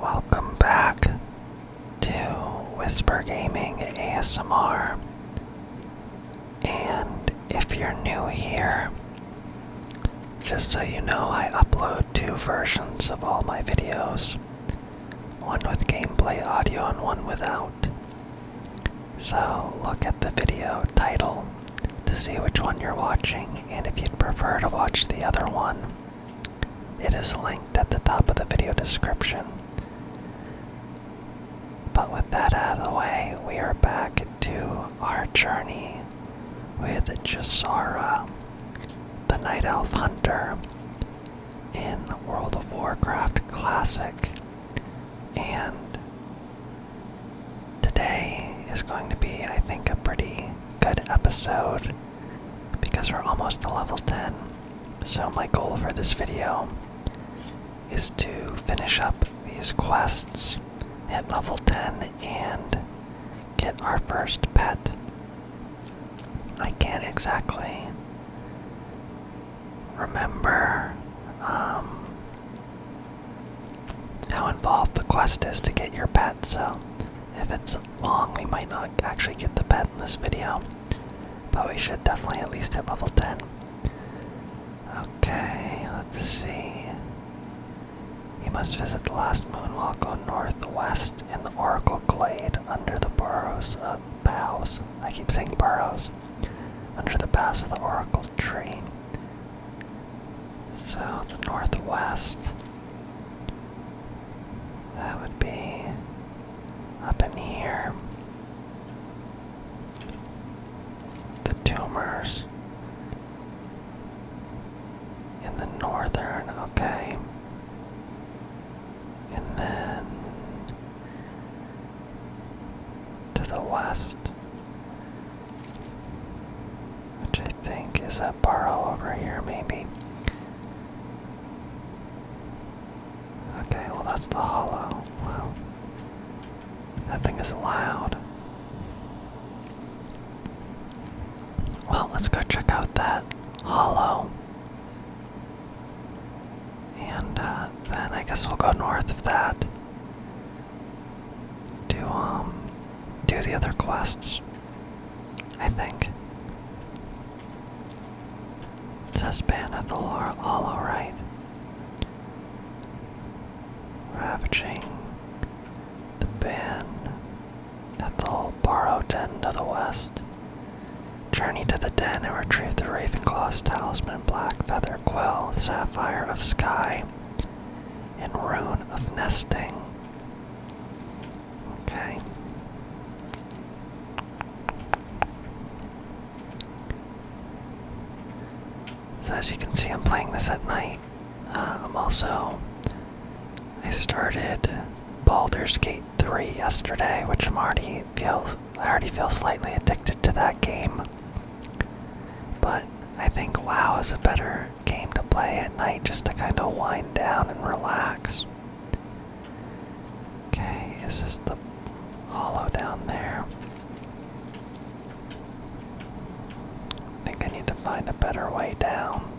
Welcome back to Whisper Gaming ASMR. And if you're new here, just so you know, I upload two versions of all my videos one with gameplay audio and one without. So look at the video title to see which one you're watching and if you'd prefer to watch the other one, it is linked at the top of the video description. But with that out of the way, we are back to our journey with Jasara, the Night Elf Hunter, in World of Warcraft Classic. And today is going to be, I think, a pretty good episode because we're almost to level 10. So, my goal for this video is to finish up these quests, hit level 10, and get our first pet. I can't exactly remember um, how involved the quest is to get your pet, so if it's long, we might not actually get the pet in this video, but we should definitely at least hit level 10. Okay, let's see. You must visit the last moonwalk go northwest in the Oracle Glade under the burrows of boughs. I keep saying burrows. Under the boughs of the Oracle tree. South the northwest. That would be up in here. The tumors in the northern, okay. And then to the west which I think is a burrow over here, maybe. Okay, well, that's the hollow. Wow. That thing is loud. Well, let's go check out that hollow. And uh, then I guess we'll go north of that to um, do the other quests. I think. Suspend of the lore all alright. Ravaging the band at the borrowed borrow den to the west. Journey to the den and retrieve the raven Ravenclaw's talisman, black feather quill, sapphire of sky, and rune of nesting. Okay. So as you can see, I'm playing this at night. Uh, I'm also. I started Baldur's Gate 3 yesterday, which i already feels. I already feel slightly addicted to that game. But I think WoW is a better Came to play at night just to kind of wind down and relax. Okay, is this the hollow down there? I think I need to find a better way down.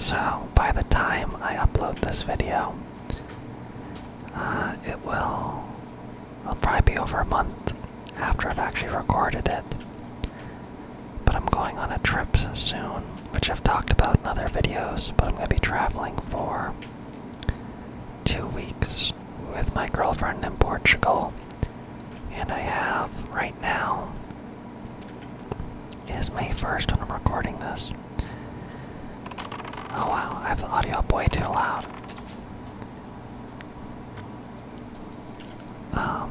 So, by the time I upload this video, uh, it will probably be over a month after I've actually recorded it. But I'm going on a trip soon, which I've talked about in other videos, but I'm going to be traveling for two weeks with my girlfriend in Portugal. And I have, right now, is May 1st when I'm recording this. Oh wow, I have the audio up way too loud. Um,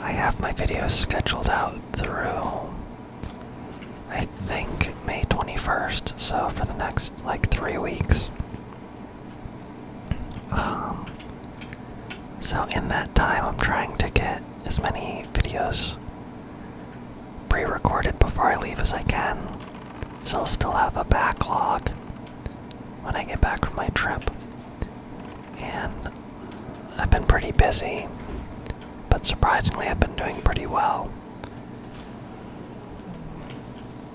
I have my videos scheduled out through, I think, May 21st, so for the next like three weeks. Um, so in that time, I'm trying to get as many videos pre recorded before I leave as I can. So I'll still have a backlog when I get back from my trip. And I've been pretty busy, but surprisingly, I've been doing pretty well.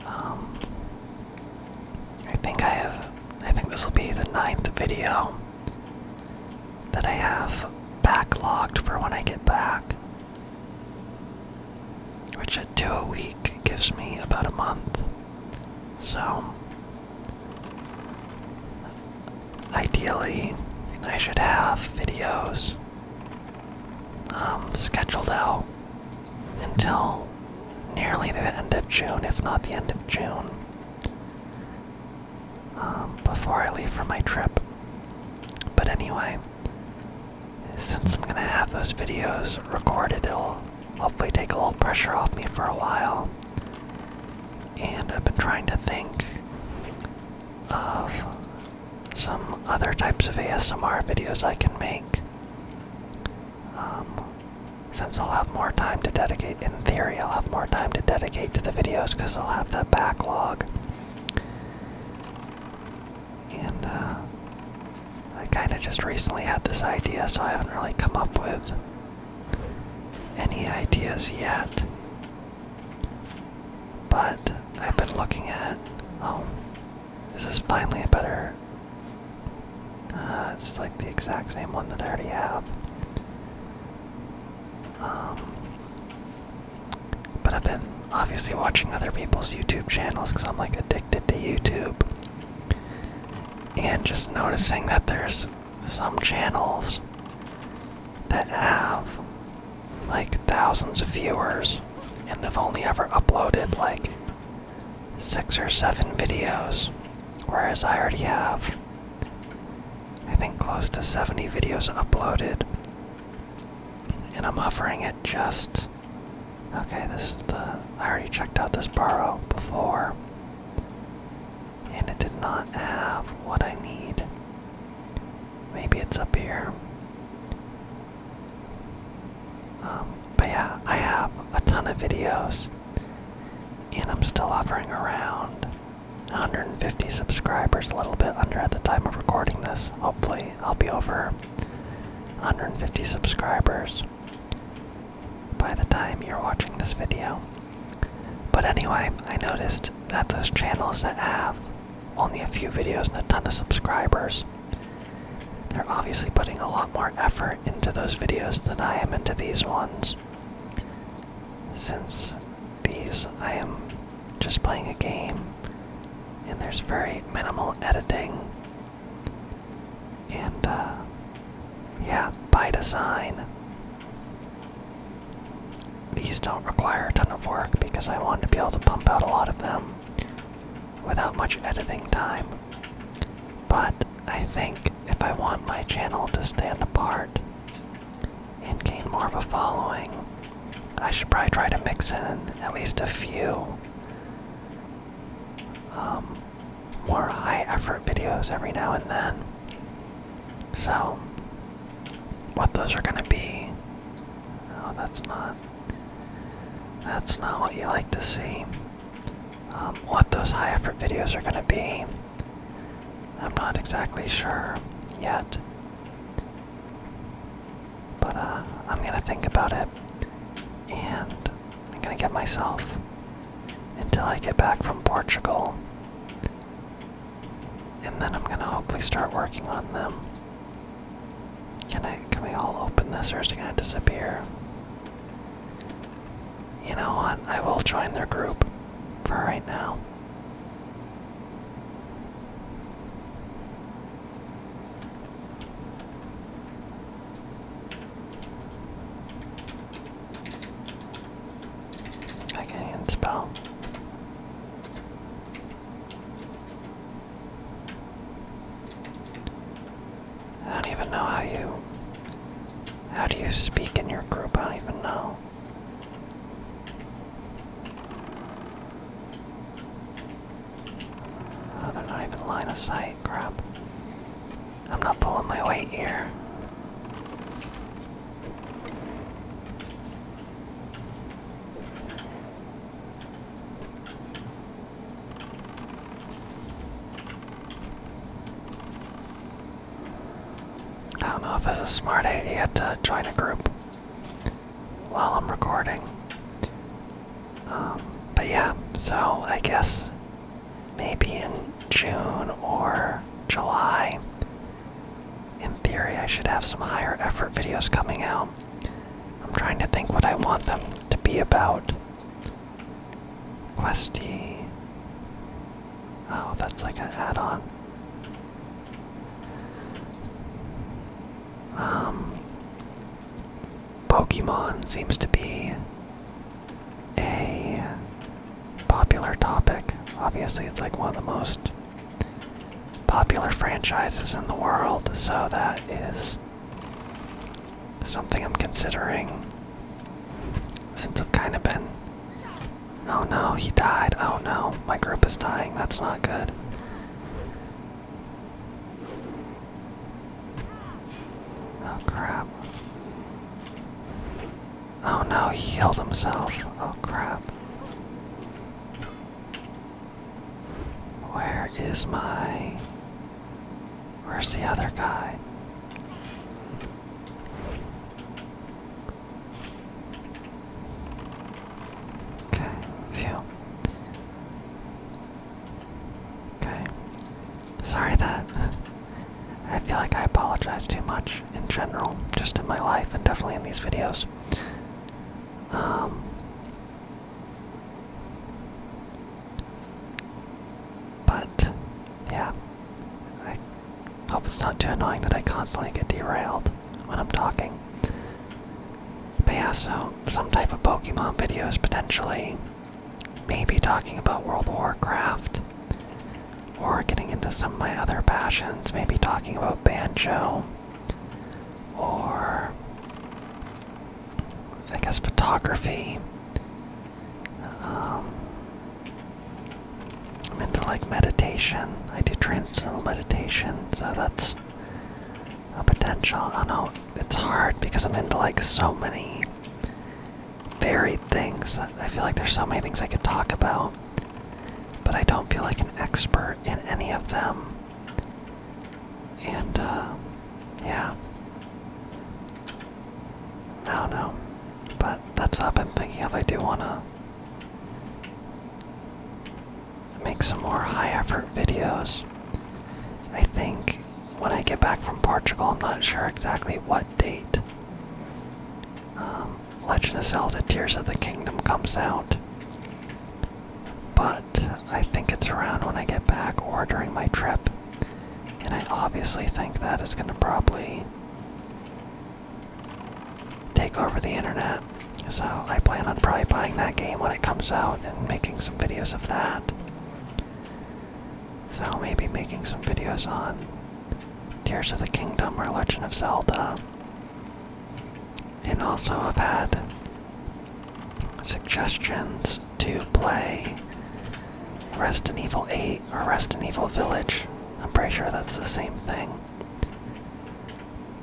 Um, I think I have. I think this will be the ninth video that I have backlogged for when I get back. Which at two a week gives me about a month. So, ideally, I should have videos um, scheduled out until nearly the end of June, if not the end of June, um, before I leave for my trip. But anyway, since I'm gonna have those videos recorded, it'll hopefully take a little pressure off me for a while. And I've been trying to think of some other types of ASMR videos I can make. Um, since I'll have more time to dedicate, in theory, I'll have more time to dedicate to the videos because I'll have that backlog and uh, I kind of just recently had this idea, so I haven't really come up with any ideas yet. But I've been looking at. Oh, this is finally a better. Uh, it's like the exact same one that I already have. Um, but I've been obviously watching other people's YouTube channels because I'm like addicted to YouTube. And just noticing that there's some channels that have like thousands of viewers and they've only ever uploaded like six or seven videos. Whereas I already have, I think, close to 70 videos uploaded. And I'm offering it just Okay, this is the. I already checked out this burrow before. And it did not have what I need. Maybe it's up here. Um, but yeah, I have a ton of videos. And I'm still hovering around 150 subscribers, a little bit under at the time of recording this. Hopefully, I'll be over 150 subscribers by the time you're watching this video. But anyway, I noticed that those channels that have only a few videos and a ton of subscribers, they're obviously putting a lot more effort into those videos than I am into these ones. Since these, I am just playing a game and there's very minimal editing and, uh, yeah, by design. These don't require a ton of work because I want to be able to pump out a lot of them without much editing time. But I think if I want my channel to stand apart and gain more of a following, I should probably try to mix in at least a few um, more high effort videos every now and then. So, what those are gonna be? Oh, that's not. That's not what you like to see. Um, what those high effort videos are gonna be? I'm not exactly sure yet. But uh, I'm gonna think about it, and I'm gonna get myself until I get back from Portugal, and then I'm gonna hopefully start working on them. Can I? Can we all open this, or is it gonna disappear? You know what? I will join their group for right now. I can't spell. I don't even know how you how do you speak in your group? I don't even know. Oh, they're not even line of sight. Crap. I'm not pulling my weight here. I don't know if it's a smart idea to join a group while I'm recording. Um, but yeah, so I guess maybe in June or July, in theory, I should have some higher effort videos coming out. I'm trying to think what I want them to be about. Questy. Oh, that's like an add on. Um, Pokemon seems to be a popular topic. Obviously, it's like one of the most popular franchises in the world, so that is something I'm considering since I've kind of been. Oh no, he died. Oh no, my group is dying. That's not good. Oh crap. Oh no, he healed himself. Oh crap. Where is my. Where's the other guy? Okay, phew. Okay. Sorry that I feel like I apologize too much in general, just in my life and definitely in these videos. Um, but, yeah. I hope it's not too annoying that I constantly get derailed when I'm talking. But yeah, so some type of Pokemon videos potentially. Maybe talking about World Warcraft. Or getting into some of my other passions. Maybe talking about Banjo. Or. I guess photography. Um, I'm into like meditation. I do transcendental meditation, so that's a potential. I don't know it's hard because I'm into like so many varied things. I feel like there's so many things I could talk about, but I don't feel like an expert in any of them. And, uh, yeah. I don't know. But that's what I've been thinking of. I do want to make some more high effort videos. I think when I get back from Portugal, I'm not sure exactly what date um, Legend of Zelda Tears of the Kingdom comes out. But I think it's around when I get back or during my trip. And I obviously think that is going to probably take over the internet. So I plan on probably buying that game when it comes out and making some videos of that. So maybe making some videos on Tears of the Kingdom or Legend of Zelda. And also I've had suggestions to play Resident Evil 8 or Resident Evil Village. I'm pretty sure that's the same thing.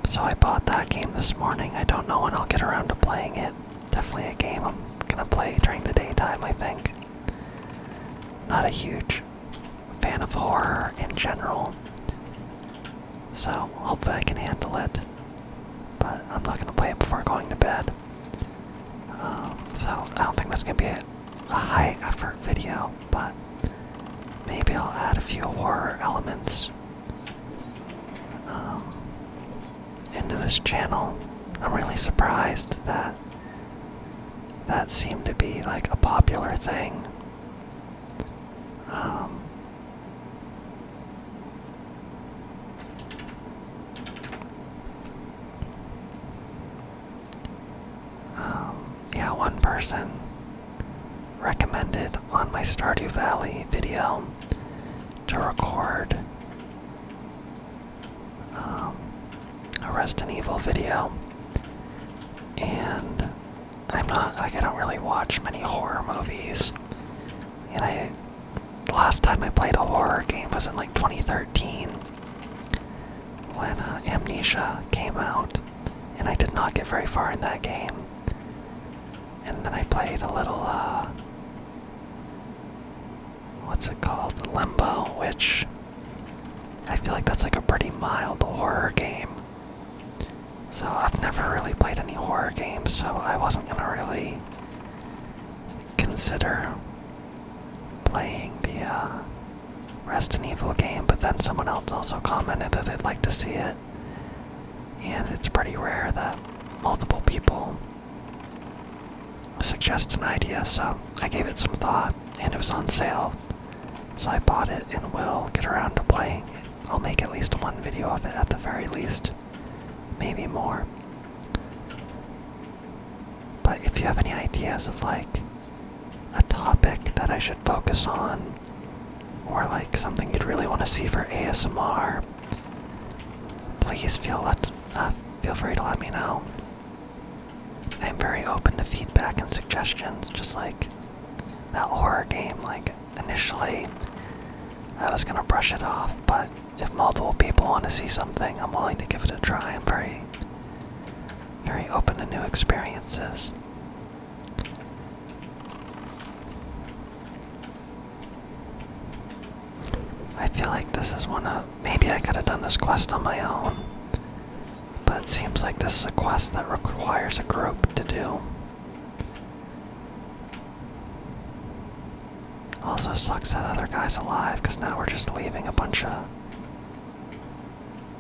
So I bought that game this morning. I don't know when I'll get around to playing it. Definitely a game I'm gonna play during the daytime, I think. Not a huge fan of horror in general, so hopefully I can handle it. But I'm not gonna play it before going to bed. Um, so I don't think that's gonna be a, high effort video, but maybe I'll add a few horror elements. Um, into this channel. I'm really surprised that that seemed to be like a popular thing. Um, um, yeah, one person recommended on my Stardew Valley video to record um, a Resident Evil video, and I'm not I don't really watch many horror movies, and I last time I played a horror game was in like 2013 when uh, Amnesia came out, and I did not get very far in that game. And then I played a little uh, what's it called? Limbo, which I feel like that's like a pretty mild horror game. So I've never really played any horror games, so I wasn't gonna really consider playing the uh, Resident Evil game, but then someone else also commented that they'd like to see it. And it's pretty rare that multiple people suggests an idea, so I gave it some thought, and it was on sale. So I bought it and will get around to playing it. I'll make at least one video of it at the very least, maybe more. But if you have any ideas of like a topic that I should focus on, or like something you'd really want to see for ASMR, Please feel let uh, feel free to let me know. I am very open to feedback and suggestions. Just like that horror game, like initially, I was gonna brush it off, but if multiple people want to see something, I'm willing to give it a try. I'm very, very open to new experiences. I feel like this is one of. Maybe I could have done this quest on my own. But it seems like this is a quest that requires a group to do. Also sucks that other guy's alive, because now we're just leaving a bunch of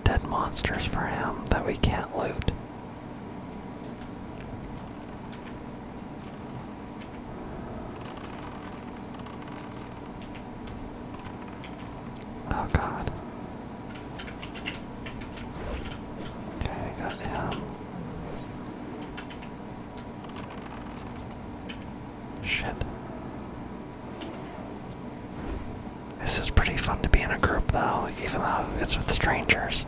dead monsters for him that we can't loot. Oh god. Okay, got him. Shit. This is pretty fun to be in a group though, even though it's with strangers.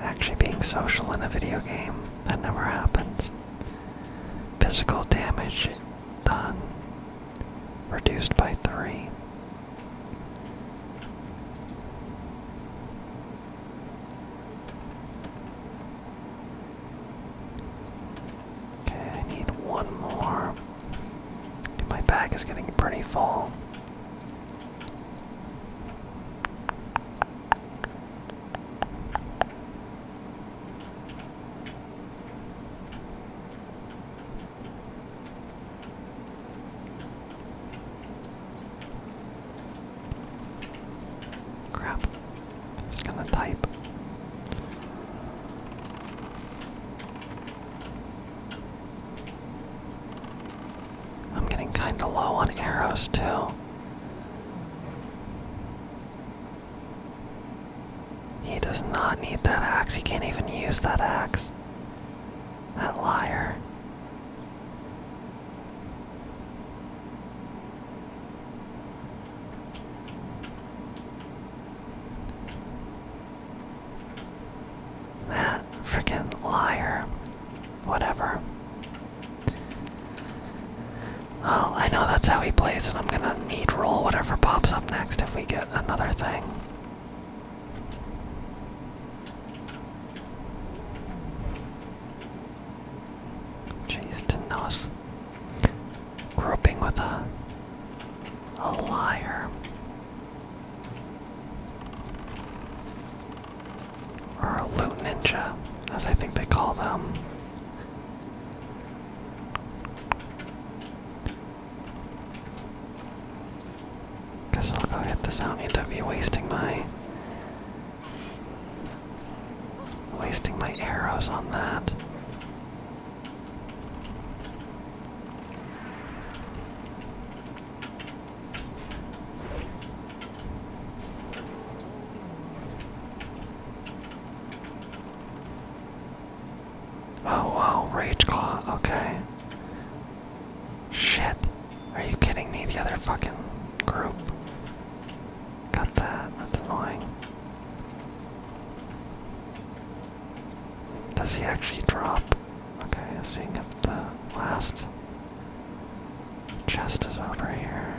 Actually being social in a video game, that never happens. Physical damage done, reduced by three. Okay, I need one more. My back is getting pretty full. Crap. I'm just gonna type. I'm getting kinda low on arrows too. He does not need that axe. He can't even use that axe. That liar. That freaking liar. Whatever. Well, I know that's how he plays, and I'm gonna need roll whatever pops up next if we get another thing. Jeez, didn't with a a liar. Or a loot ninja, as I think they call them. Guess I'll go hit this out. wasting my wasting my arrows on that. Oh wow, Rage Claw, okay. Shit. Are you kidding me? The other fucking group. Got that, that's annoying. Does he actually drop? Okay, seeing if the last Chest is over here.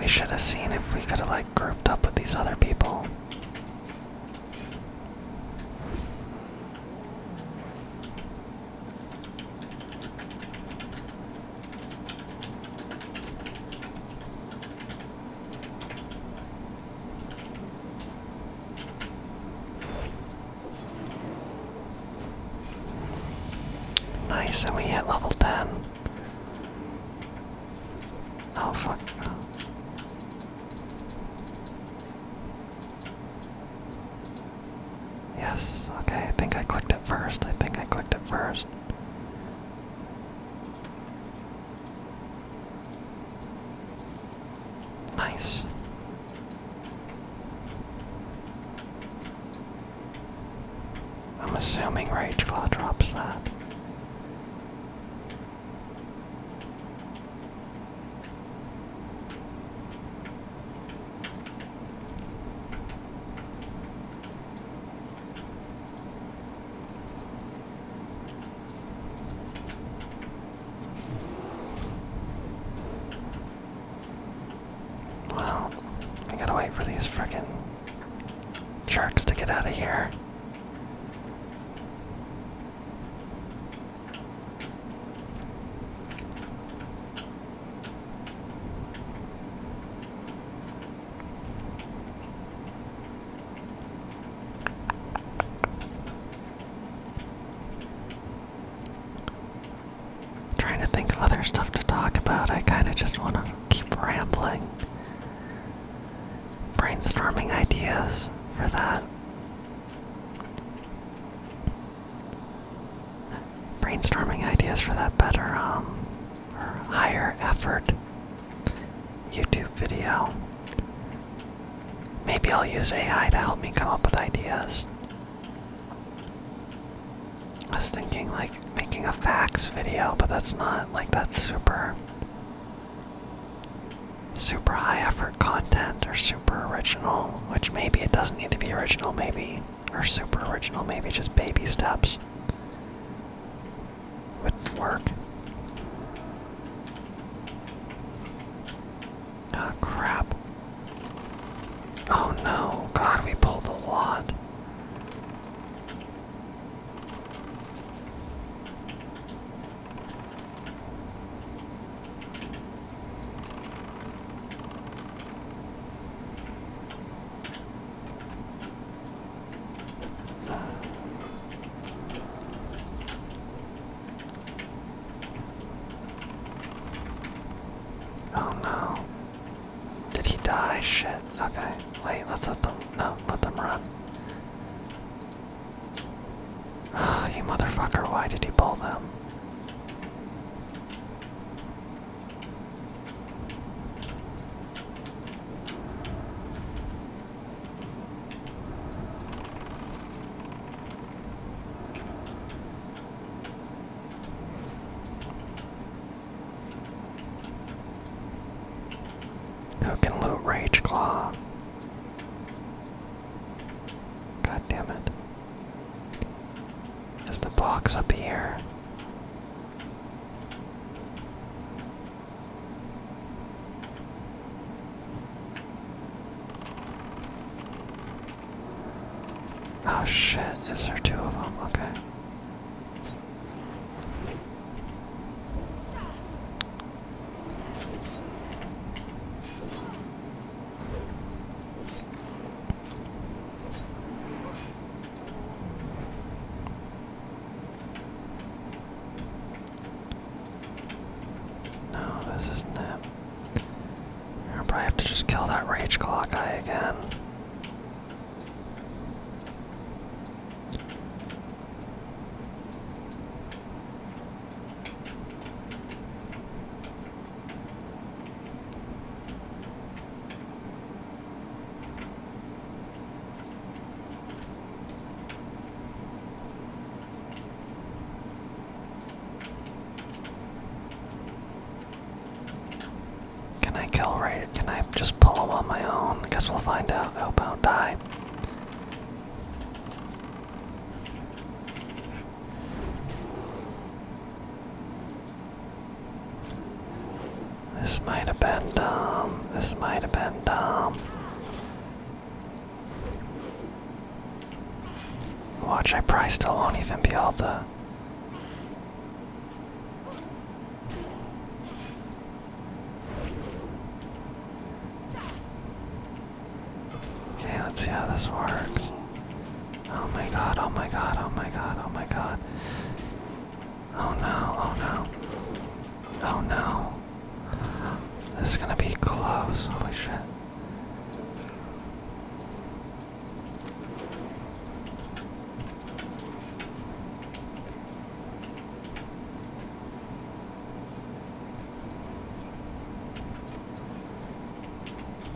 We should have seen if we could have like grouped up with these other people. Nice, and we hit level 10. Oh, fuck. Yes, okay, I think I clicked it first. I think I clicked it first. Nice. I'm assuming Rage Claw drops that. Well, I gotta wait for these frickin' sharks to get out of here. Trying to think of other stuff to talk about. I kind of just want to keep rambling. Brainstorming ideas for that brainstorming ideas for that better um or higher effort YouTube video. Maybe I'll use AI to help me come up with ideas. I was thinking like making a facts video, but that's not like that's super super high effort content or super original, which maybe it doesn't need to be original, maybe or super original, maybe just baby steps would work. Oh crap. Oh no, God, we pulled a lot. Oh no. Did he die? Shit. Okay. Wait, let's let them no, let them run. oh, you motherfucker, why did you pull them? Who can loot Rage Claw? God damn it. Is the box up here? Oh shit, is there two of them? Okay. No, this isn't I'll probably have to just kill that rage clock guy again. Can I kill right? Can I just pull him on my own? I Guess we'll find out. I hope I don't die. This might have been dumb. This might have been dumb. Watch, I probably still won't even be able to. Okay, let's see how this works. Oh my god, oh my god, oh my god, oh my god. Oh no, oh no. Oh no. This is gonna be close, holy shit.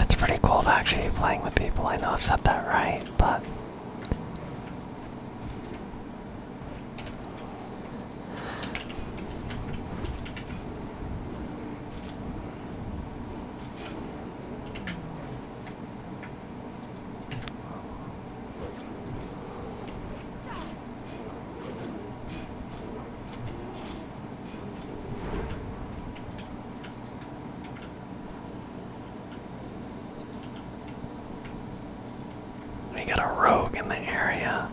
It's pretty cool to actually be playing with people. I know I've said that right, but. We got a rogue in the area.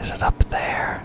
Is it up there?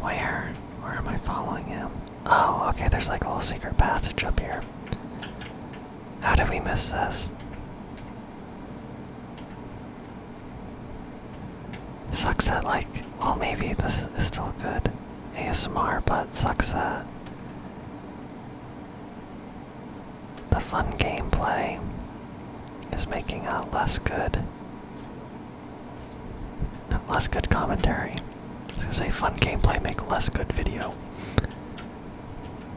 Where? Where am I following him? Oh, okay, there's like a little secret passage up here. How did we miss this? Sucks that, like, well, maybe this is still good ASMR, but sucks that the fun gameplay is making a less good, less good commentary. I gonna say fun gameplay make less good video.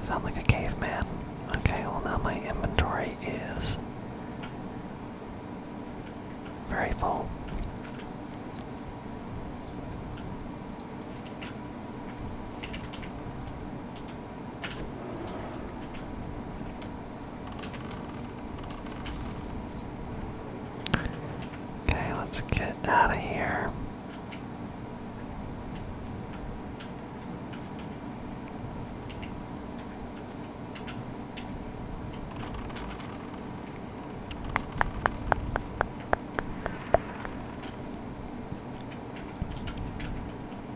Sound like a caveman. Okay, well now my inventory is very full. Okay, let's get out of here.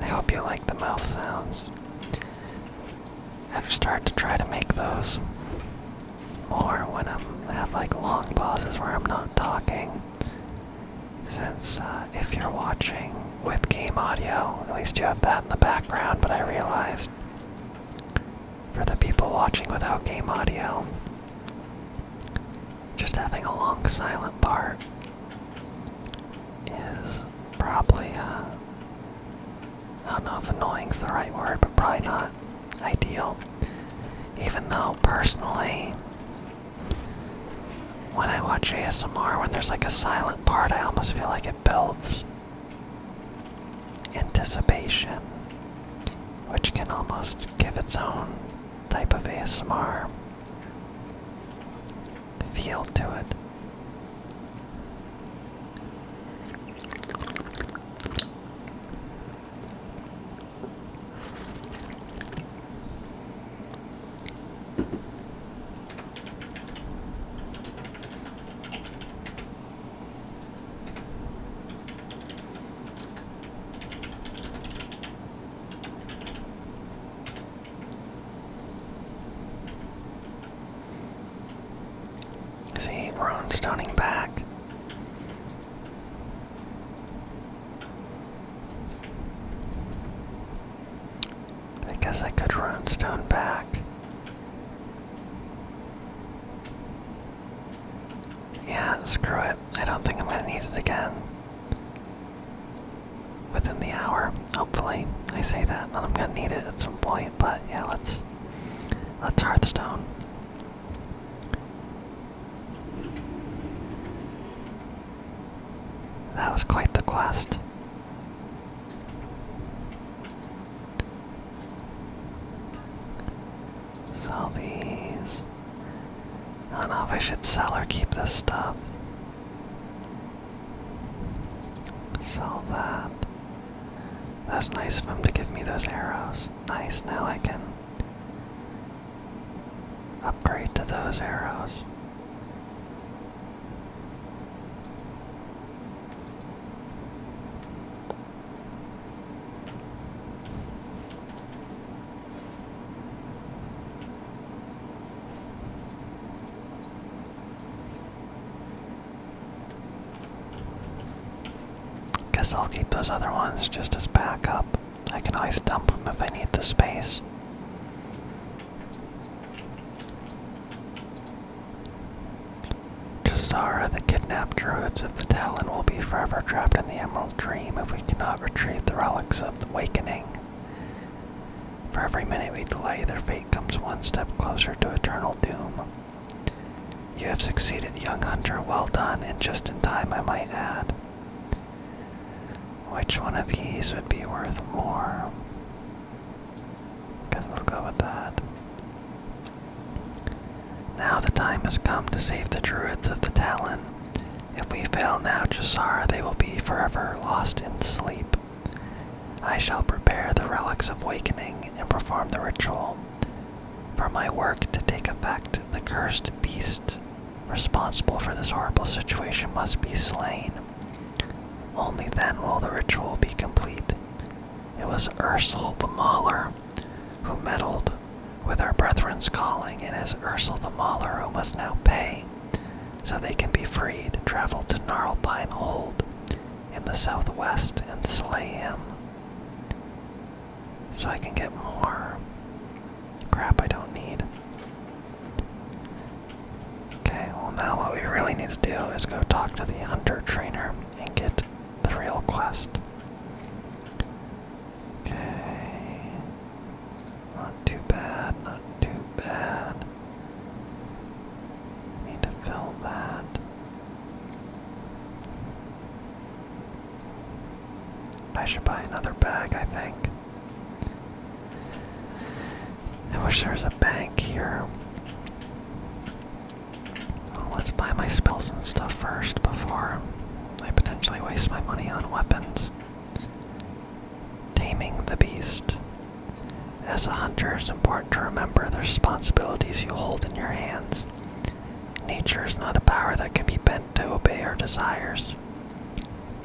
I hope you like the mouth sounds. I've started to try to make those more when I have like long pauses where I'm not talking. Since uh, if you're watching with game audio, at least you have that in the background, but I realized for the people watching without game audio, just having a long silent part is probably, uh, I don't know if annoying's the right word, but probably not ideal. Even though, personally, when I watch ASMR, when there's like a silent part, I almost feel like it builds anticipation, which can almost give its own type of ASMR feel to it. See, we're on stoning back. I guess I could run stone back. Yeah, screw it. I don't think I'm gonna need it again. Within the hour, hopefully. I say that, and I'm gonna need it at some point, but yeah, let's let's Hearthstone. That was quite the quest. Sell these. I don't know if I should sell or keep this stuff. Sell that. That's nice of him to give me those arrows. Nice, now I can Upgrade to those arrows. Guess I'll keep those other ones just as backup. I can always dump them if I need the space. Jasara, the kidnapped druids of the Talon, will be forever trapped in the Emerald Dream if we cannot retrieve the relics of the Wakening. For every minute we delay, their fate comes one step closer to eternal doom. You have succeeded, young hunter. Well done, and just in time, I might add. Which one of these would be worth more? Because we'll go with that. Now the time has come to save the druids of the Talon. If we fail now, Jasar, they will be forever lost in sleep. I shall prepare the relics of wakening and perform the ritual. For my work to take effect, the cursed beast responsible for this horrible situation must be slain. Only then will the ritual be complete. It was Ursel the Mauler who meddled with our brethren's calling, and it is Ursel the Mauler who must now pay, so they can be freed, travel to Gnarlbine Hold in the southwest, and slay him so I can get more crap I don't need. Okay, well, now what we really need to do is go talk to the under trainer and get the real quest. Okay. Not too bad, not too bad. Need to fill that. I should buy another bag, I think. I wish there was a bank here. let's buy my spells and stuff first before I potentially waste my money on weapons. Taming the beast. As a hunter, it's important to remember the responsibilities you hold in your hands. Nature is not a power that can be bent to obey our desires.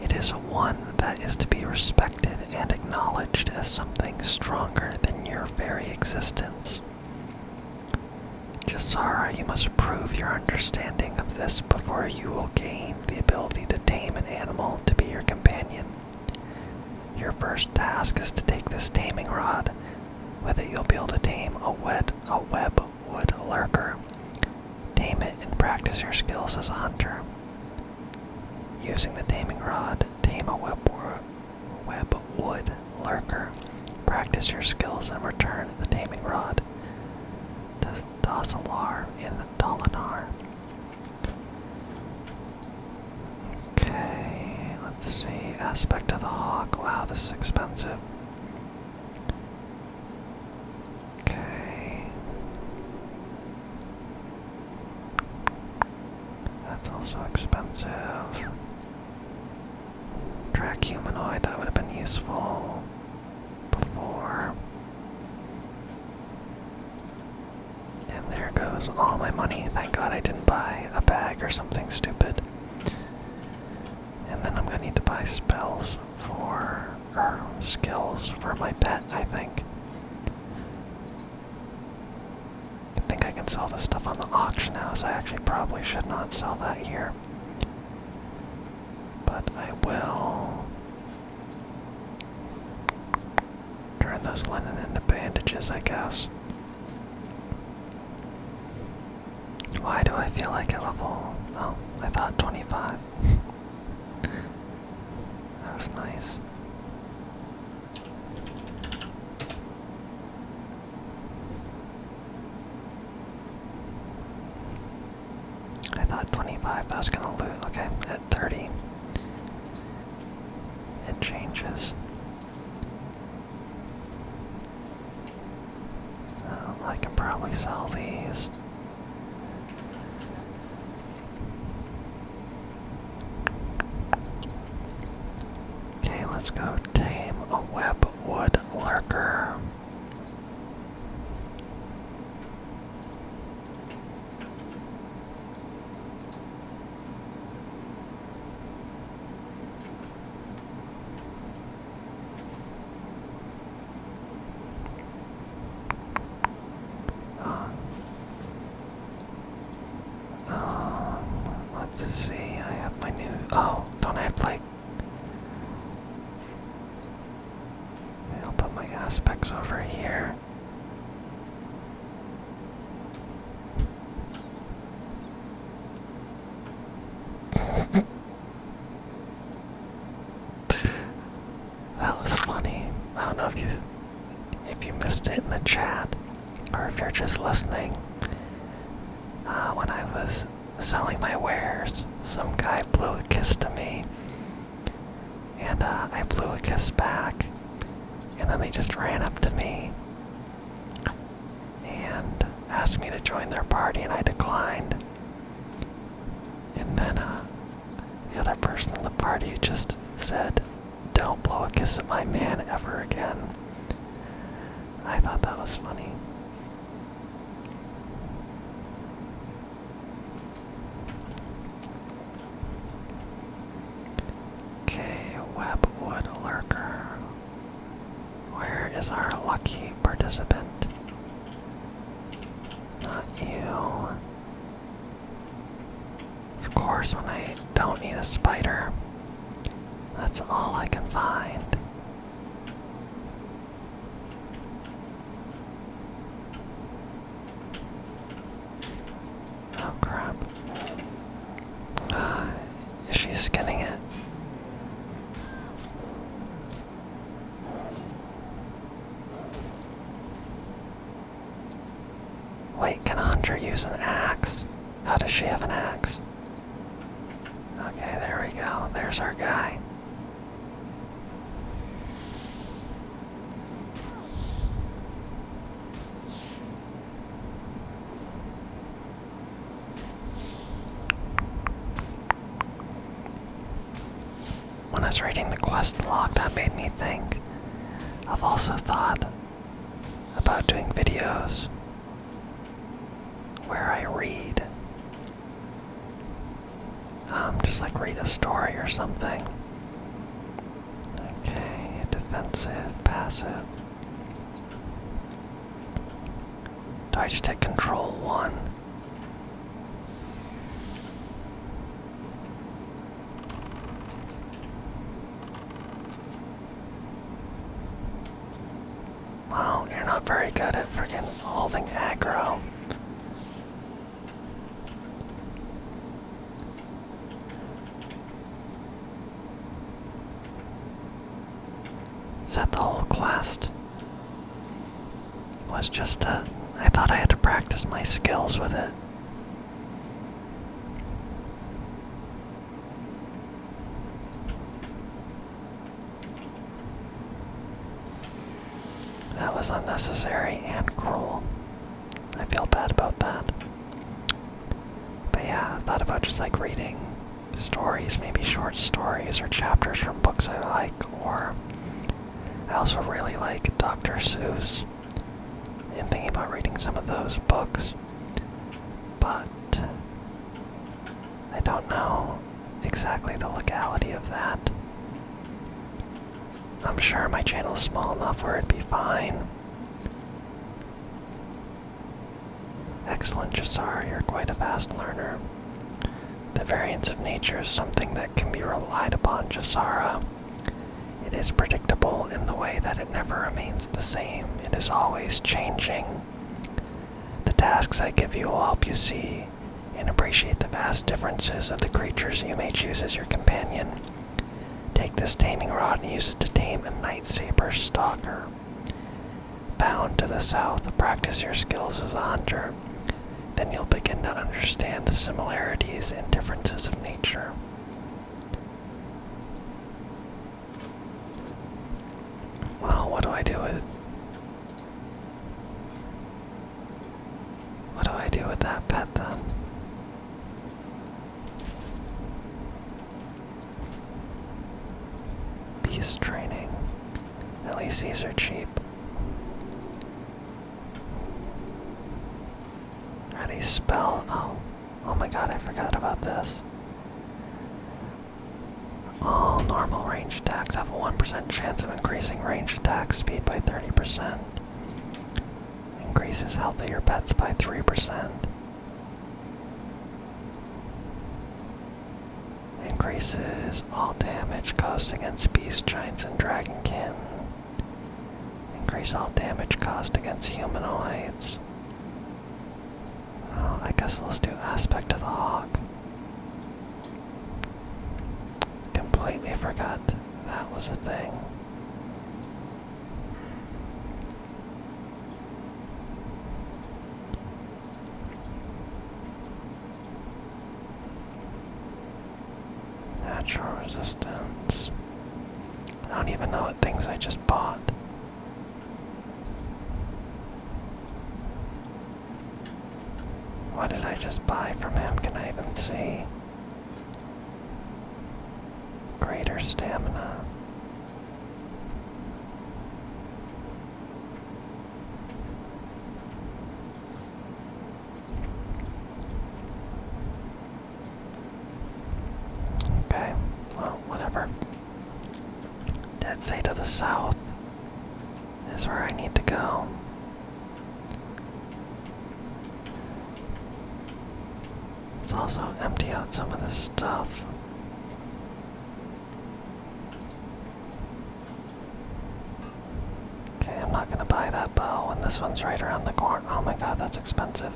It is one that is to be respected and acknowledged as something stronger than your very existence. Jasara, you must prove your understanding of this before you will gain the ability to tame an animal to be your companion. Your first task is to take this taming rod. With it, you'll be able to tame a, wet, a web wood lurker. Tame it and practice your skills as a hunter. Using the taming rod, tame a web, web wood lurker. Practice your skills and return the taming rod to Dossalar in Dolinar. Okay, let's see. Aspect of the hawk. Wow, this is expensive. Okay. That's also expensive. Track humanoid, that would have been useful before. And there goes all my money. Thank God I didn't buy a bag or something stupid. And then I'm gonna need to buy spells for skills for my pet, I think. I think I can sell this stuff on the auction house. I actually probably should not sell that here. But I will turn those linen into bandages, I guess. Why do I feel like a level? Oh, I thought 25. that was nice. I thought 25, That was gonna loot. Okay, at 30, it changes. I can probably sell these. Okay, let's go tame a web lurker. Um, um, let's see, I have my news. Oh, don't I have like. I'll put my aspects over here. That was funny. I don't know if you if you missed it in the chat or if you're just listening. Uh, when I was selling my wares, some guy blew a kiss to me, and uh, I blew a kiss back, and then they just ran up to me and asked me to join their party, and I declined. And then uh, the other person in the party just said, Don't blow a kiss at my man ever again. I thought that was funny. Okay, Webwood Lurker. Where is our lucky participant? Not you. Of course, when I don't need a spider, that's all I can find. Oh crap. Uh, is she skinning it? Wait, can a hunter use an axe? How does she have an axe? Okay, there we go. There's our guy. When I was reading the quest log, that made me think. I've also thought about doing videos where I read. Um, just like read a story or something. Okay, defensive, passive. Do I just take control one? Wow, you're not very good at freaking holding aggro. Is that the whole quest? was just to, I thought I had to practice my skills with it. That was unnecessary and cruel. I feel bad about that. But yeah, I thought about just like reading stories, maybe short stories or chapters from books I like, or I also really like Dr. Seuss and thinking about reading some of those books. But I don't know exactly the locality of that. I'm sure my channel is small enough where it'd be fine. Excellent, Jasar, you're quite a fast learner. The variance of nature is something that can be relied upon, Jasara. It is predictable in the way that it never remains the same, it is always changing. The tasks I give you will help you see and appreciate the vast differences of the creatures you may choose as your companion. Take this taming rod and use it to tame a night saber stalker. Bound to the south, practice your skills as a hunter then you'll begin to understand the similarities and differences of nature. Well, what do I do with. What do I do with that pet then? Beast training. At are cheap. Any spell? Oh. Oh my god, I forgot about this. All normal range attacks have a 1% chance of increasing range attack speed by 30%. Increases healthier pets by 3%. Increases all damage caused against beast, giants, and dragonkin. Increase all damage caused against humanoids. Oh, I guess we'll do aspect of the hawk. Completely forgot that was a thing. Natural resistance. I don't even know what things I just bought. What did I just buy from him? Can I even see? Greater stamina. Okay, well, whatever. Dead Sea to the south is where I need to go. Let's also empty out some of this stuff. Okay, I'm not gonna buy that bow And this one's right around the corner. Oh my god, that's expensive.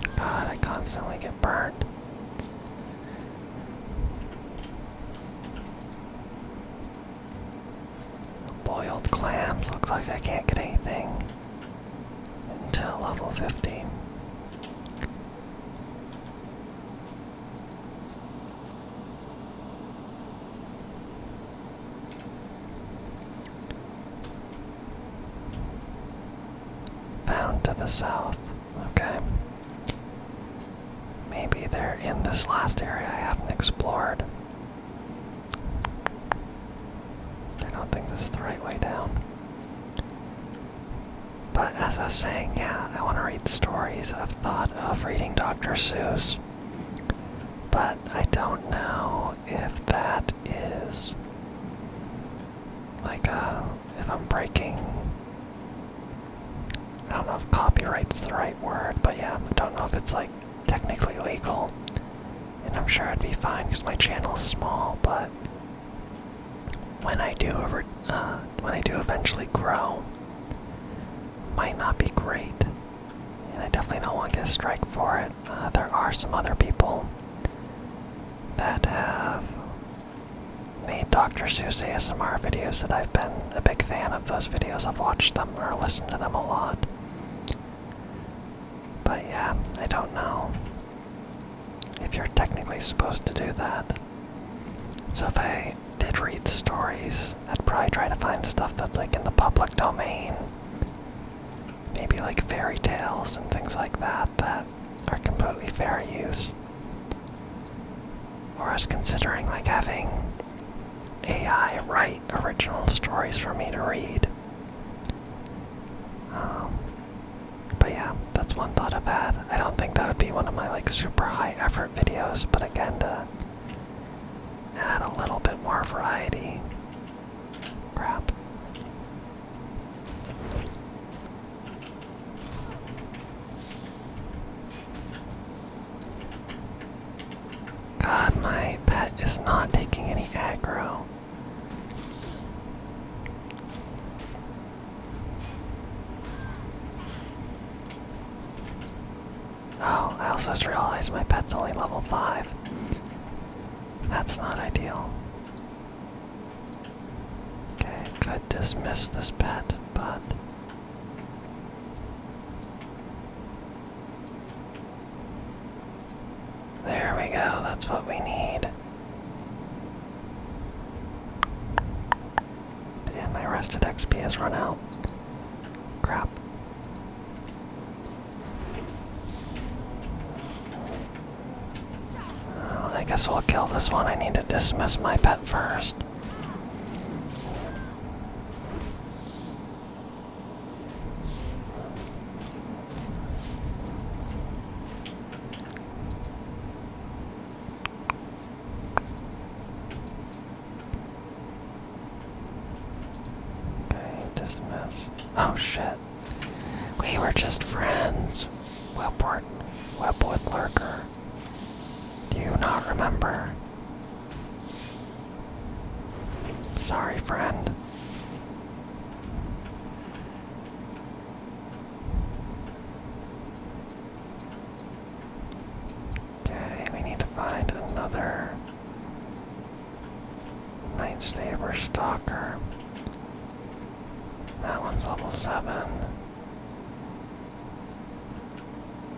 God, ah, I constantly get burned. Boiled clams, look like I can't get anything until level 50. Found to the south. Okay. Maybe they're in this last area I haven't explored. I don't think this is the right way down. But as I was saying, yeah, I want to read stories. I've thought of reading Dr. Seuss. But I don't know if that is like a, uh, if I'm breaking I don't know if copyright's the right word, but yeah, I don't know if it's like technically legal. And I'm sure I'd be fine because my channel's small, but when I do over uh, when I do eventually grow, might not be great. And I definitely don't want to get a strike for it. Uh, there are some other people that have made Dr. Seuss ASMR videos that I've been a big fan of those videos. I've watched them or listened to them a lot. But yeah, I don't know if you're technically supposed to do that. So if I did read stories, I'd probably try to find stuff that's like in the public domain maybe like fairy tales and things like that that are completely fair use. Or I was considering like having AI write original stories for me to read. Um, but yeah, that's one thought I've had. I don't think that would be one of my like super high effort videos, but again to add a little bit more variety Crap. God, my pet is not taking any aggro. Oh, I also just realized my pet's only level 5. That's not ideal. Okay, could dismiss this bet, but. There we go, that's what we need. Damn, my rested XP has run out. Crap. I guess we'll kill this one. I need to dismiss my pet first. Okay, dismiss. Oh shit. We were just friends. Webwood, Webwood Lurker. Do you not remember? Sorry, friend. Okay, we need to find another Night Saber Stalker. That one's level 7.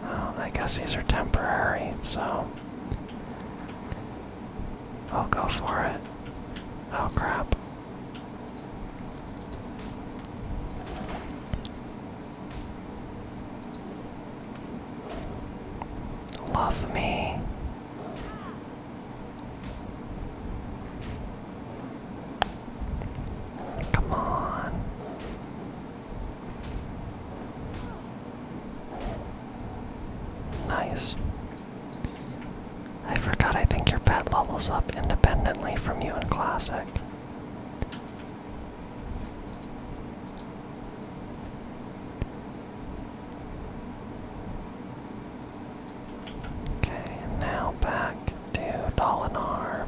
Um, I guess these are temporary, so I'll go for it. Oh crap. Love me. Come on. Nice. I forgot, I think your pet levels up independently from you in Classic. Okay, now back to Dolinar.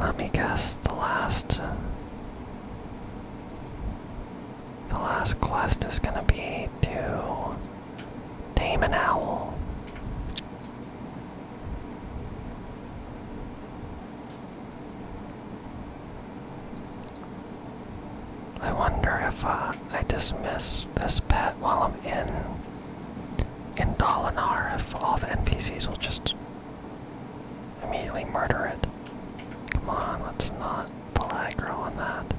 Let me guess the last the last quest is gonna be to tame an owl. I wonder if uh, I dismiss this pet while I'm in in Dalinar, if all the NPCs will just immediately murder it. Come on, let's not pull aggro on that.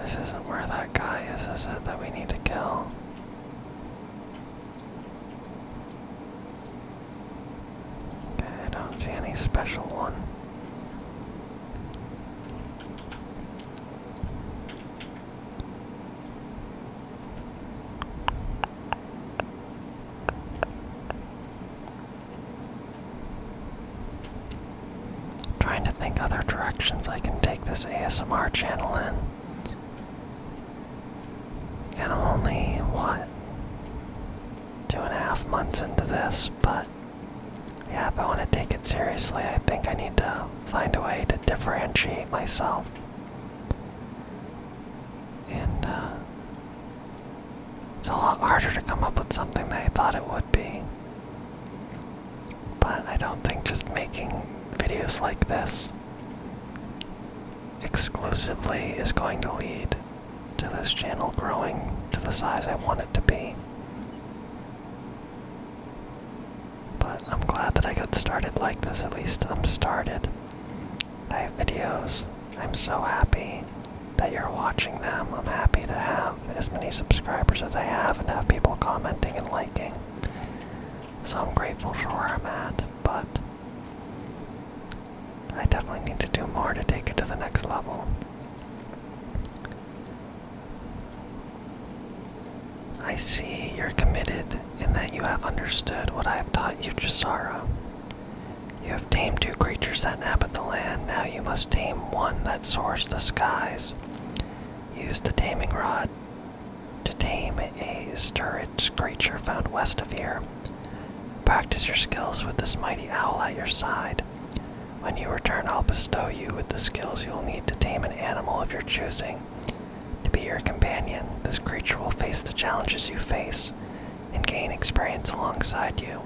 This isn't where that guy is, is it, that we need to kill? I don't see any special one. I'm trying to think other directions I can take this ASMR channel in. And I'm only, what, two and a half months into this, but yeah, if I want to take it seriously, I think I need to find a way to differentiate myself. And, uh, it's a lot harder to come up with something than I thought it would be. But I don't think just making videos like this exclusively is going to lead to this channel growing to the size I want it to be. But I'm glad that I got started like this, at least I'm started. I have videos. I'm so happy that you're watching them. I'm happy to have as many subscribers as I have and have people commenting and liking. So I'm grateful for where I'm at, but I definitely need to do more to take it to the next level. I see you're committed in that you have understood what I have taught you, Chisara. You have tamed two creatures that inhabit the land, now you must tame one that soars the skies. Use the taming rod to tame a sturridge creature found west of here. Practice your skills with this mighty owl at your side. When you return, I'll bestow you with the skills you will need to tame an animal of your choosing. To be your companion, this creature will face the challenges you face and gain experience alongside you.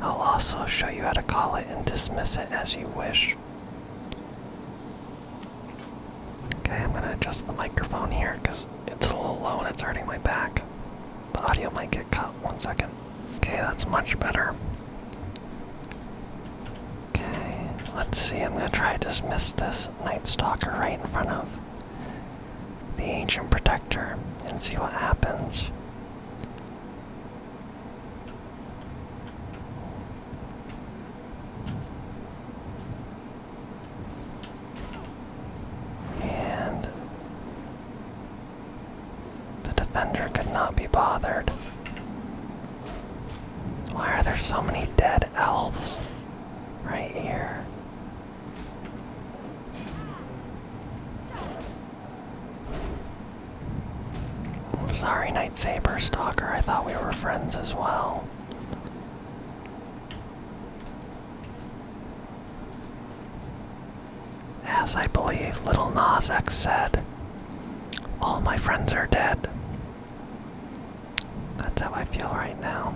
I'll also show you how to call it and dismiss it as you wish. Okay, I'm gonna adjust the microphone here because it's a little low and it's hurting my back. The audio might get cut. One second. Okay, that's much better. Okay, let's see. I'm gonna try to dismiss this Night Stalker right in front of the Ancient Protector and see what happens. And the defender could not be bothered. Why are there so many dead elves right here? sorry, Nightsaber Stalker. I thought we were friends as well. As I believe Little Nas said, all my friends are dead. That's how I feel right now.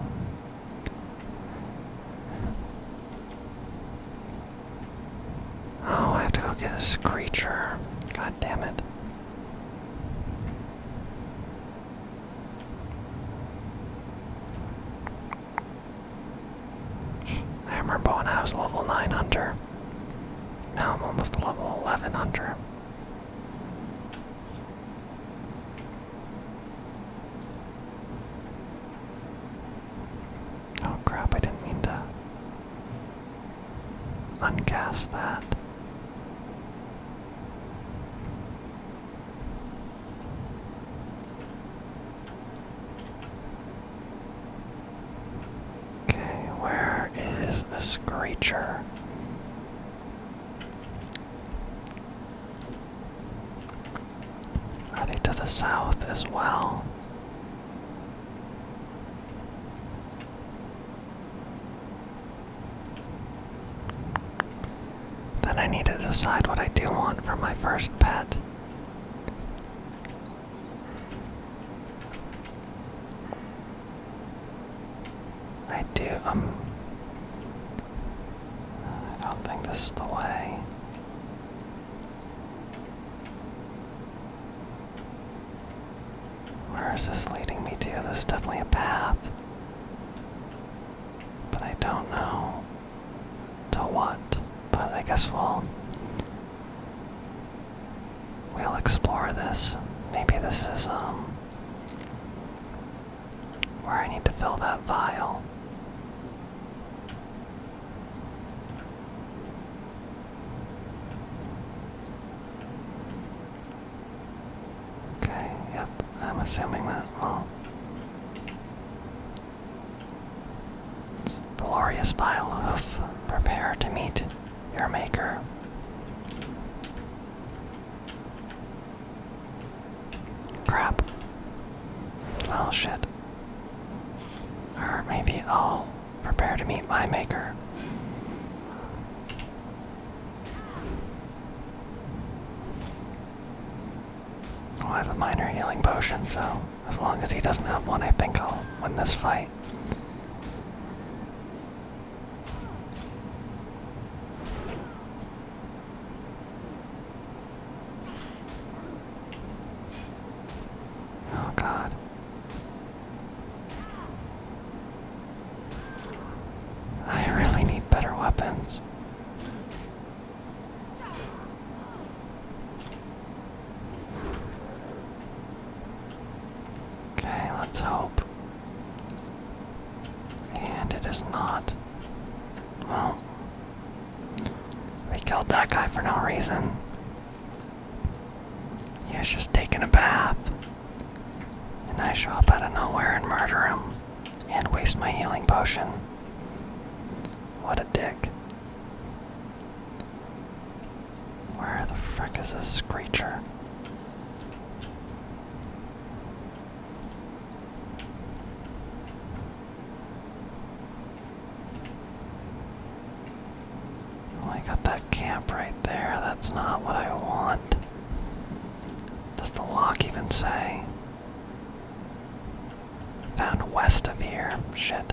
Oh, I have to go get a Screecher. God damn it. Hammerbone remember level 9 hunter. Now I'm almost level 11 hunter. Oh crap, I didn't mean to uncast that. Okay, where is a screecher? Are they to the south as well? Then I need to decide what I do want for my first pet. I do, um. I don't think this is the way. Where is this leading me to? This is definitely a path. But I don't know to what. But I guess we'll we'll explore this. Maybe this is um where I need to fill that vial. Okay, yep, I'm assuming that well Glorious pile of prepare to meet your maker. Crap. Oh shit. Or maybe i Prepare to meet my maker. I have a minor healing potion, so as long as he doesn't have one, I think I'll win this fight. Oh god. I really need better weapons. Okay, let's hope. And it is not. Well, we killed that guy for no reason. He's just taking a bath. And I show up out of nowhere and murder him. And waste my healing potion. What a dick. Where the frick is this Screecher? I got that camp right there. That's not what I want. Does the lock even say? Found west of here. Shit.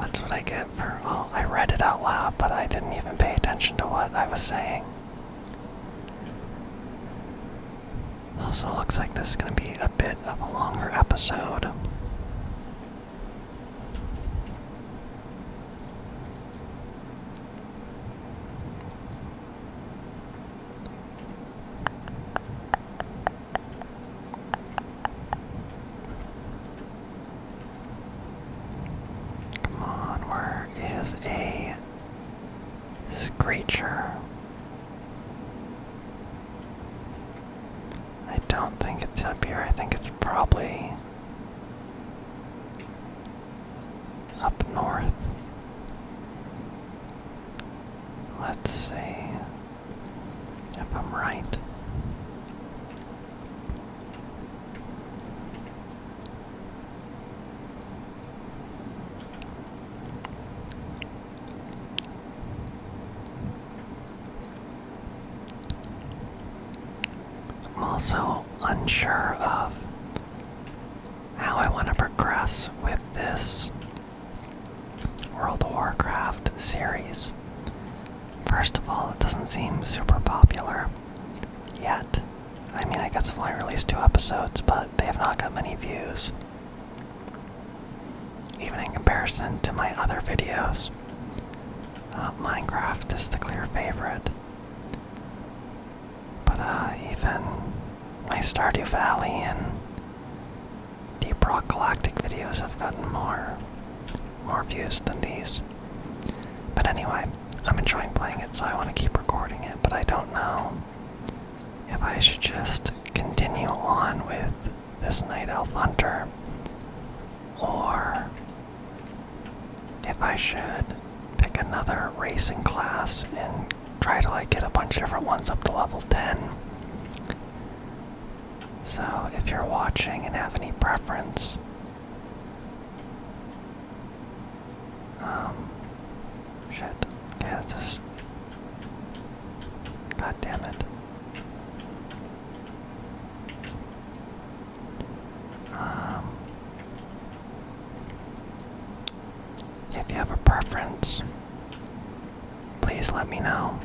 That's what I get for. Oh, I read it out loud, but I didn't even pay attention to what I was saying. Also, looks like this is going to be a bit of a longer episode. Come on, where is a Screecher. I don't think it's up here. I think it's probably up north. Let's see if I'm right. I'm also unsure of how I want to progress with this World of Warcraft series. First of all, it doesn't seem super popular yet. I mean, I guess I've only released two episodes, but they have not got many views. Even in comparison to my other videos, uh, Minecraft is the clear favorite. But uh, even my Stardew Valley and Deep Rock Galactic videos have gotten more, more views than these. But anyway, I'm enjoying playing it, so I want to keep recording it. But I don't know if I should just continue on with this night elf hunter or if I should pick another racing class and try to like get a bunch of different ones up to level 10. So if you're watching and have any preference, um, shit, yeah, this God damn it. Um, if you have a preference, please let me know.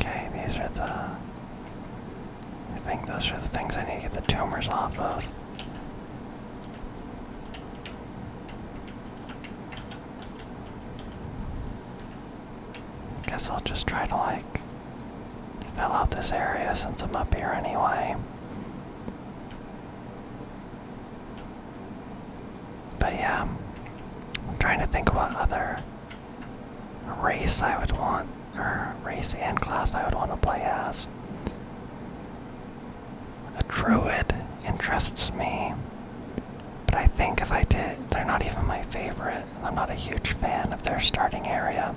Okay, these are the. I think those are the things I need to get the tumors off of. Guess I'll just try to like fill out this area since I'm up here anyway. But yeah, I'm trying to think of what other race I would want, or race and class I would want to play as. A druid interests me, but I think if I did, they're not even my favorite. I'm not a huge fan of their starting area.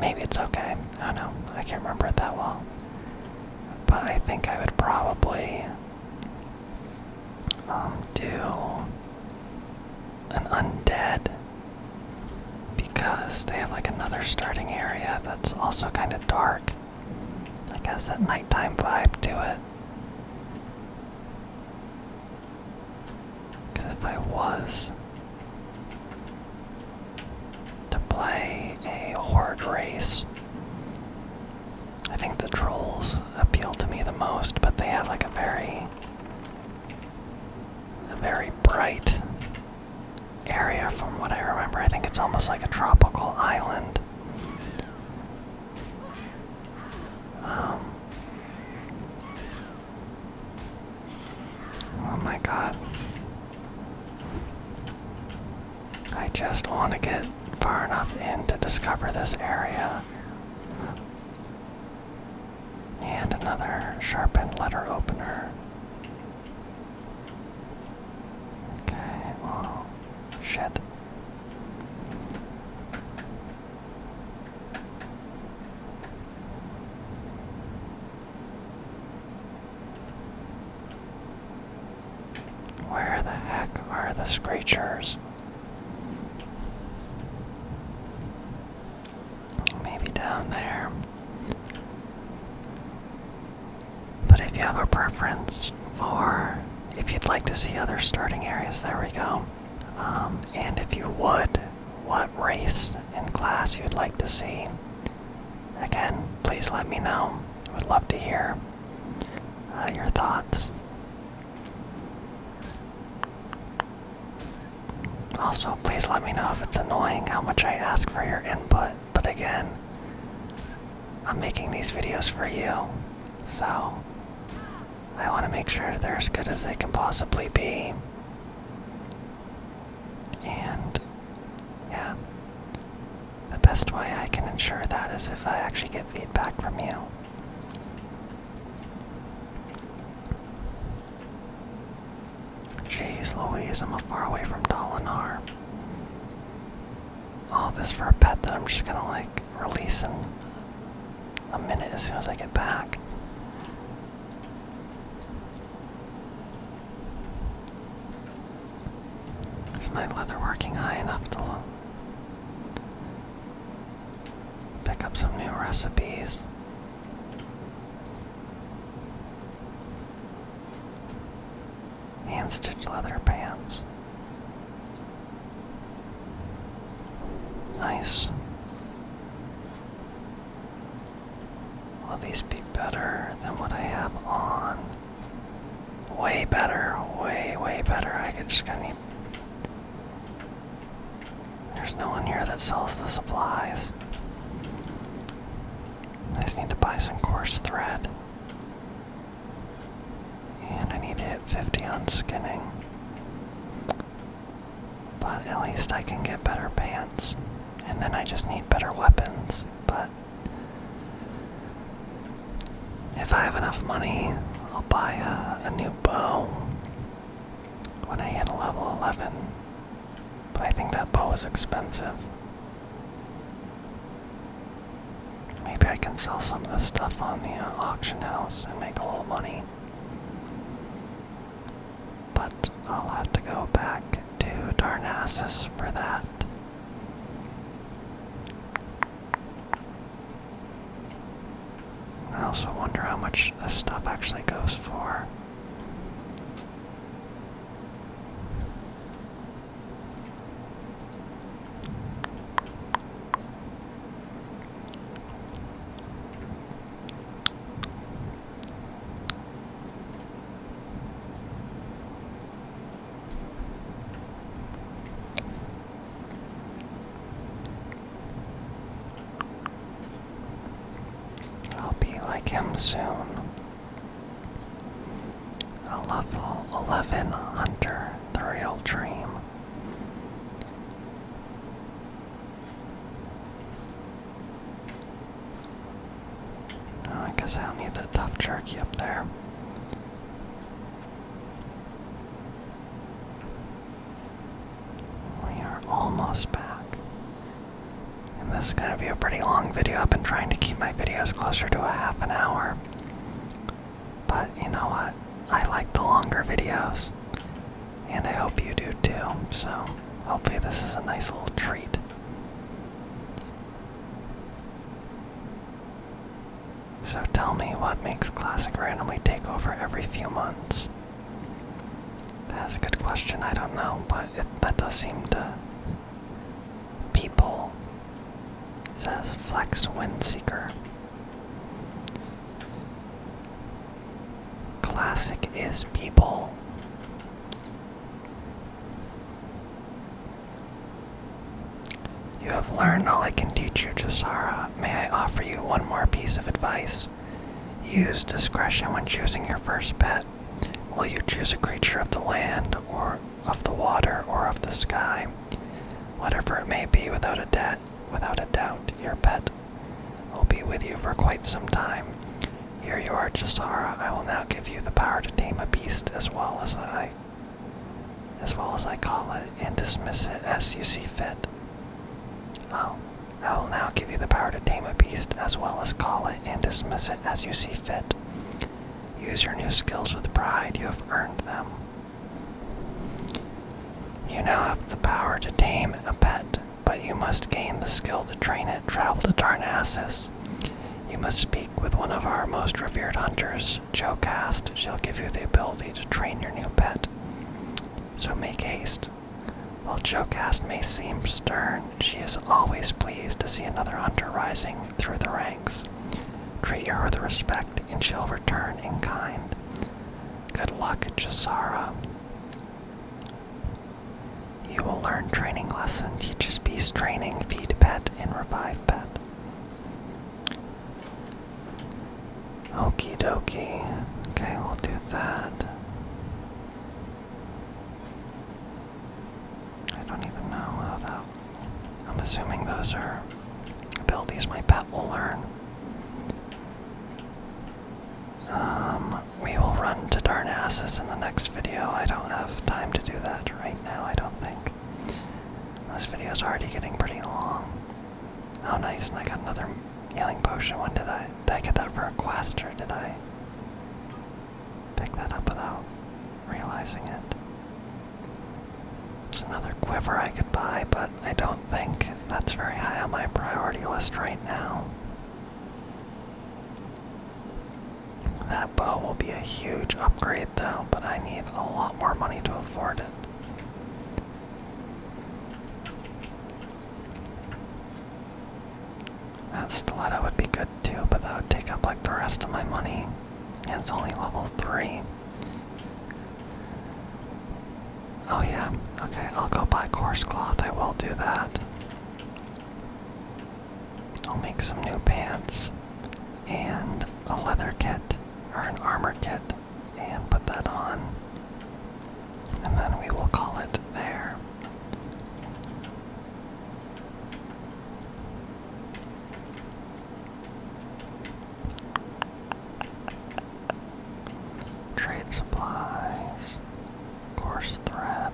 Maybe it's okay. I don't know. I can't remember it that well. But I think I would probably um, do an undead because they have like another starting area that's also kind of dark. I guess that nighttime vibe to it. Because if I was to play a horde race, I think the trolls appeal to me the most, but they have like a very a very bright area from what I remember. I think it's almost like a tropical island. Um, oh my god. I just want to get far enough in to discover this area. And another sharpened letter opener. Okay, well, shit. Where the heck are the screechers? Maybe down there. But if you have a preference for if you'd like to see other starting areas, there we go. Um, and if you would, what race in class you'd like to see. Again, please let me know. would love to hear uh, your thoughts. Also, please let me know if it's annoying how much I ask for your input, but again, I'm making these videos for you, so I want to make sure they're as good as they can possibly be. And yeah, the best way I can ensure that is if I actually get feedback from you. Jeez Louise, I'm a far away from Dolinar all this for a pet that I'm just gonna like release in a minute as soon as I get back. Is my leather working high enough to Pick up some new recipes hand-stitched leather pants. Nice. Will these be better than what I have on? Way better, way, way better. I could just kind of. There's no one here that sells the supplies. I just need to buy some coarse thread. And I need to hit 50 on skinning. But at least I can get better pants. And then I just need better weapons. But if I have enough money, I'll buy a, new bow when I hit level 11. But I think that bow is expensive. Maybe I can sell some of this stuff on the uh, auction house and make a little money. But I'll have to go back to Darnassus for that. I also wonder how much this stuff actually goes for. I'll be like him soon. A level 11 Hunter, the real dream. Oh, I guess I'll need the tough jerky up there. We are almost back. And this is going to be a pretty long video. I've been trying to keep my videos closer to a half an hour. But you know what? I like the longer videos. And I hope you do too. So hopefully this is a nice little treat. So tell me what makes Classic randomly take over every few months. That's a good question. I don't know, but that does seem to. People says Flex Windseeker. Classic is people. You have learned all I can teach you, Jasara. May I offer you one more piece of advice? Use discretion when choosing your first pet. Will you choose a creature of the land or of the water or of the sky, whatever it may be, without a debt, without a doubt, your pet will be with you for quite some time. Here you are, Chisara. I will now give you the power to tame a beast as well as I as well as I call it, and dismiss it as you see fit. Oh, I will now give you the power to tame a beast as well as call it and dismiss it as you see fit. Use your new skills with pride, you have earned them. You now have the power to tame a pet, but you must gain the skill to train it. Travel to Darnassus. You must speak with one of our most revered hunters, Joe She'll give you the ability to train your new pet. So make haste. While Joe may seem stern, she is always pleased to see another hunter rising through the ranks. Treat her with respect and she'll return in kind. Good luck, Josara. You will learn training lesson, teaches be straining, feed pet, and revive pet. Okey dokey. Okay, we'll do that. I don't even know how that I'm assuming those are abilities my pet will learn. Um, we will run to Darnassus in the next video. I don't have time to do that right now, I don't think. This video is already getting pretty long. Oh nice, and I got another healing potion. When did I did I get that for a quest or did I pick that up without realizing it? It's another quiver I could buy, but I don't think that's very high on my priority list right now. That bow will be a huge upgrade though, but I need a lot more money to afford it. That stiletto would be good too, but that would take up like the rest of my money. And it's only level 3. Oh, yeah. Okay, I'll go buy coarse cloth. I will do that. I'll make some new pants and a leather kit or an armor kit and put that on. And then we will call it there. Trade supplies, course threat.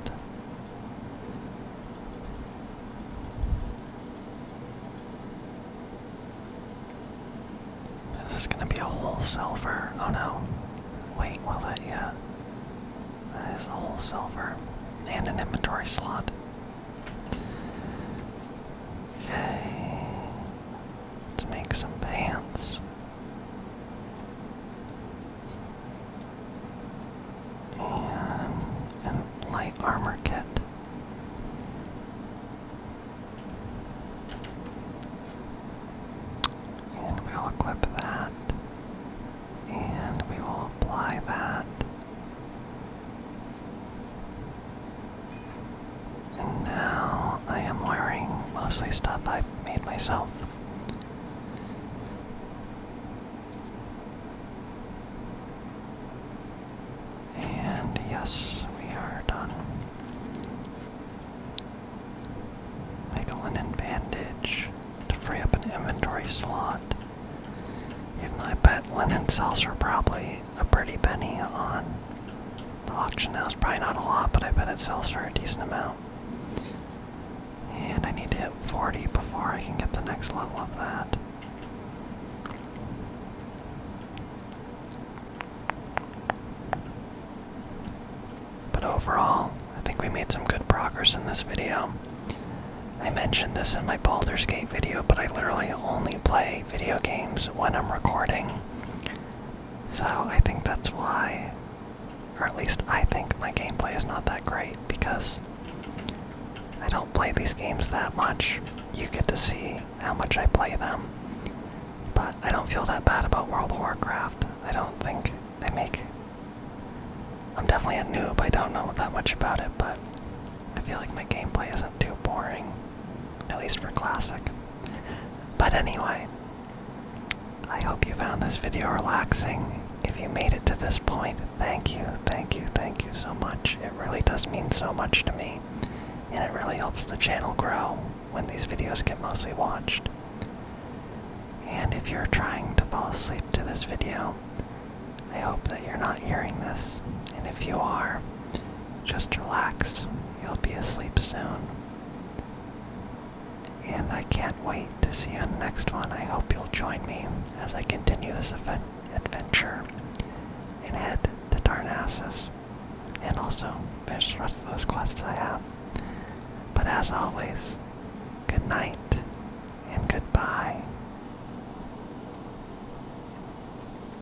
This is gonna be a whole Oh no. Wait, will that yeah. That is a whole silver. And an inventory slot. Okay. Let's make some pants. And a light armor kit. And we'll equip that. And we will apply that and now I am wearing mostly stuff I've made myself. And yes, we are done. Make a linen bandage to free up an inventory slot. I bet linen cells are probably a pretty penny on the auction house. Probably not a lot, but I bet it sells for a decent amount. And I need to hit 40 before I can get the next level of that. But overall, I think we made some good progress in this video. I mentioned this in my Baldur's Gate video, but I literally only play video games when I'm recording. So I think that's why, or at least I think my gameplay is not that great because I don't play these games that much. You get to see how much I play them. But I don't feel that bad about World of Warcraft. I don't think I make. I'm definitely a noob, I don't know that much about it, but I feel like my gameplay isn't too boring. At least for classic. But anyway, I hope you found this video relaxing. If you made it to this point, thank you, thank you, thank you so much. It really does mean so much to me. And it really helps the channel grow when these videos get mostly watched. And if you're trying to fall asleep to this video, I hope that you're not hearing this. And if you are, just relax. You'll be asleep soon. And I can't wait to see you in the next one. I hope you'll join me as I continue this adventure and head to Darnassus. And also finish the rest of those quests I have. But as always, good night and goodbye.